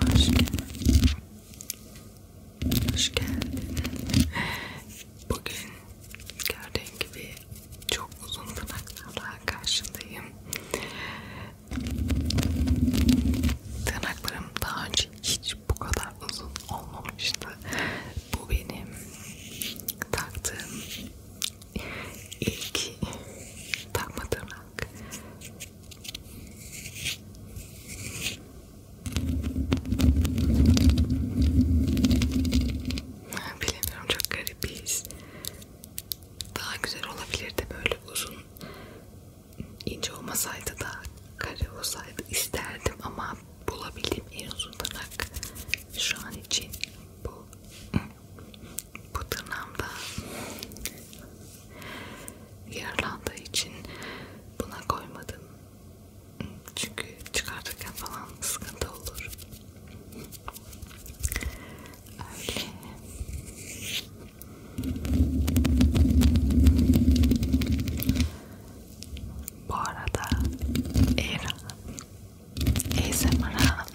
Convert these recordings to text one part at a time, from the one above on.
Hoş geldin. Hoş geldin. Bugün gördüğün gibi çok uzun tırnaklarla karşındayım. Tırnaklarım daha önce hiç bu kadar uzun olmamıştı. Bu benim taktığım ilk takma tırnak bilemiyorum çok garibiz daha güzel olabilirdi böyle uzun ince olmasaydı da kare olsaydı isterdim ama bulabildiğim en uzun tırnak şu an için bu bu tırnağımda yaralandığı için buna koymadım çünkü çıkartırken falan sıkıntı olur öyle bu arada Eğer ASMR'a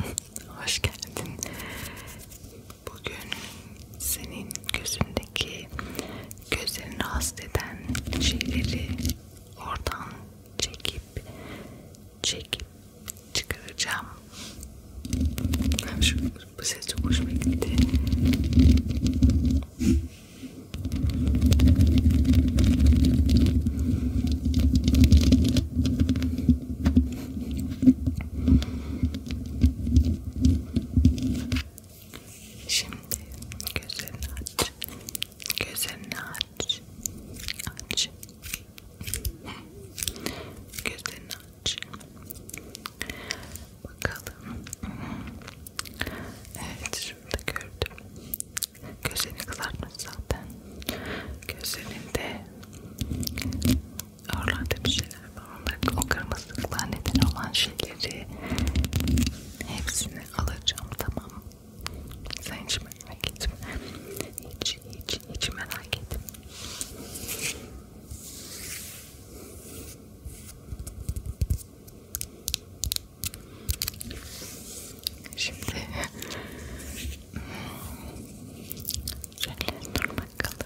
hoş geldin. Bugün senin gözündeki gözlerini rahatsız eden şeyleri oradan çekip çekip çıkaracağım. Şu, bu ses çok hoşuma gitti. Şimdi gözlerini aç. Gözlerini aç. Aç. Gözlerini aç. Bakalım. Evet, şurada gördüm. Gözlerini kızartmış zaten. Gözlerinde oralarda bir şeyler var. Onların o kırmızılıklar neden olan şeyleri hepsini alacağım tamam. Sen hiç merak etme. Hiç hiç hiç merak etme. Şimdi şöyle dur bakalım. Şuraya.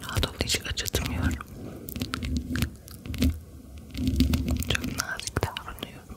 Rahat hiç acıtmıyorum. Çok nazik davranıyorum.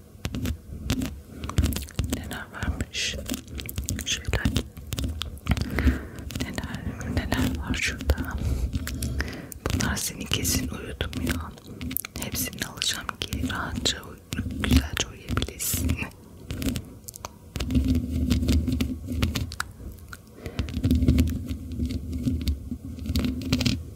neler varmış şeyler neler neler var şurada bunlar seni kesin uyutmuyor hepsini alacağım ki rahatça güzelce uyuyabilirsin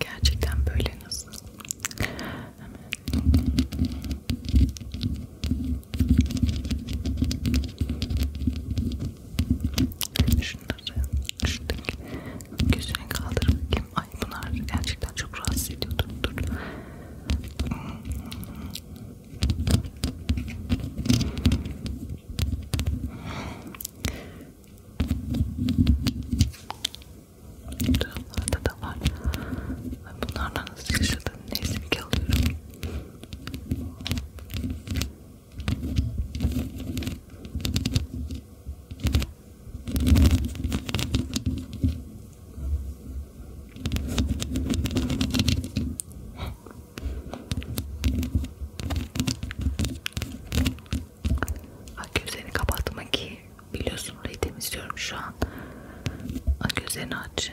Gerçekten böyle nasıl? Hemen. Şunları, şuradaki gözünü kaldırıp kim Ay bunlar gerçekten çok rahatsız ediyordu. Dur. Taraflarda da var. Bunlardan nasıl yaşadığım neyse bir alıyorum. Ak gözlerini kapatma ki biliyorsun orayı temizliyorum şu an. Ak gözlerini aç.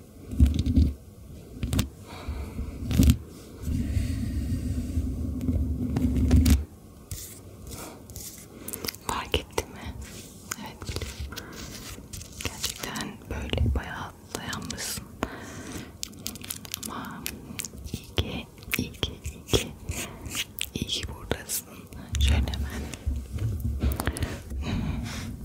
Fark ettin mi? Evet biliyorum. Gerçekten böyle bayağı dayanmışsın. Ama iyi ki, iyi ki, iyi ki, iyi ki buradasın. Şöyle hemen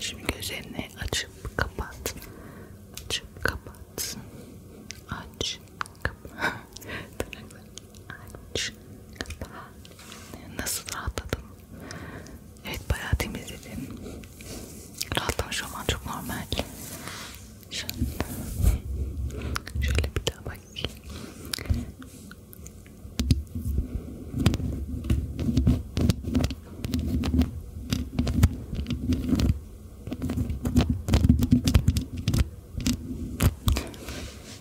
Şimdi gözlerini açıp kapat, açıp kapat, aç, kapat, aç, olmuş. Nasıl rahatladım? Evet bayağı temizledim. Rahatlamış olman çok normal. Şimdi şöyle bir daha bakayım.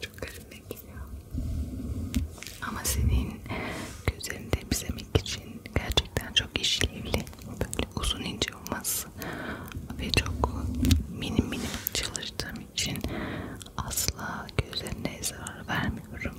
Çok garip geliyor. Ama senin gözlerini temizlemek için gerçekten çok işlevli. Böyle uzun ince olması ve çok minim minim çalıştığım için asla gözlerine zarar vermiyorum.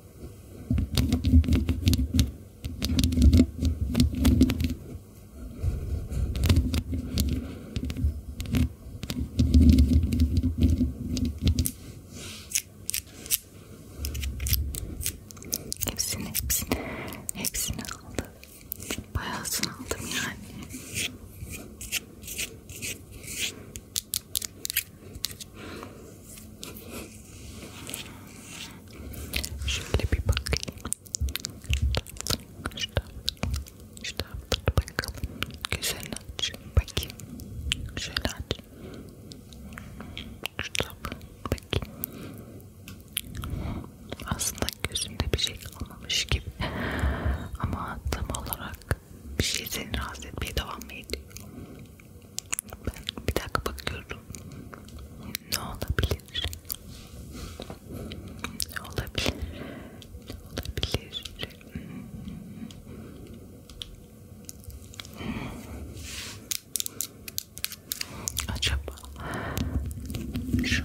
Hepsini hepsini hepsini aldım. Bayağısını aldım yani. Şöyle bir bakayım. Şu taraftan, şu taraftan bakalım. Güzel aç. Bakayım. Şöyle aç. Şu taraftan bakayım. Aslında gözünde bir şey kalmamış gibi. Ama tam olarak bir şey seni rahatsız etmeye devam mı ediyor? Ben bir dakika bakıyorum. Ne olabilir? Ne olabilir? Ne olabilir? Acaba şu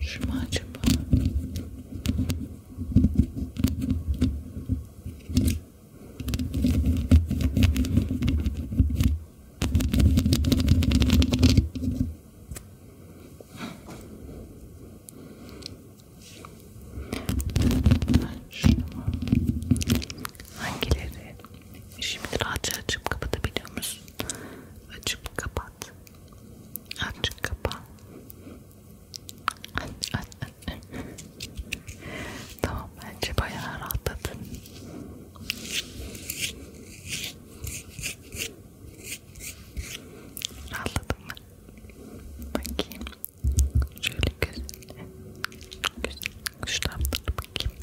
Şu mu acaba? Hangileri Şimdi rahatça açıp kapatabiliyor musun? Açıp kapat. Açıp kapat. tamam bence bayağı rahatladın. Rahatladın mı? Bakayım. Şöyle gözünle. Gözünle. Şu bakayım.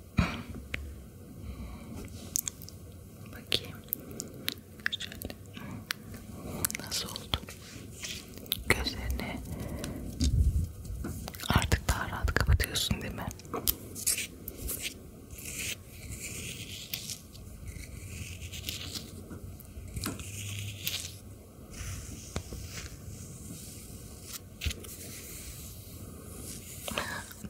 Bakayım. Şöyle. Nasıl oldu? Gözlerini artık daha rahat kapatıyorsun değil mi?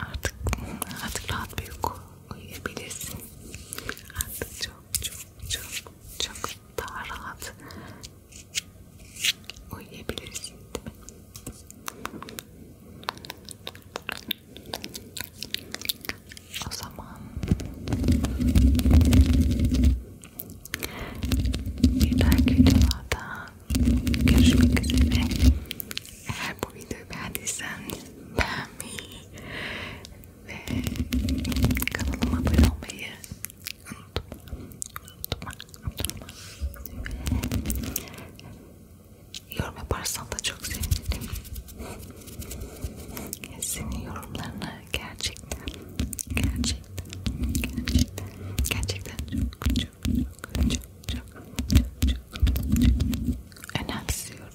Artık artık rahat bir uyku uyuyabilirsin. Artık çok çok çok çok daha rahat uyuyabilirsin değil mi? O zaman bir dahaki videolarda görüşmek üzere. Eğer bu videoyu beğendiysen beğenmeyi ve kanalıma abone olmayı unutma, unutma, unutma. Ve yorum yaparsan da çok sevinirim. Senin yorumlarını gerçekten, gerçekten, gerçekten, gerçekten çok, çok, çok, çok, çok çok çok önemsiyorum.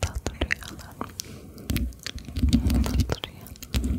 Tatlı rüyalar. Tatlı rüya. Tatlı rüya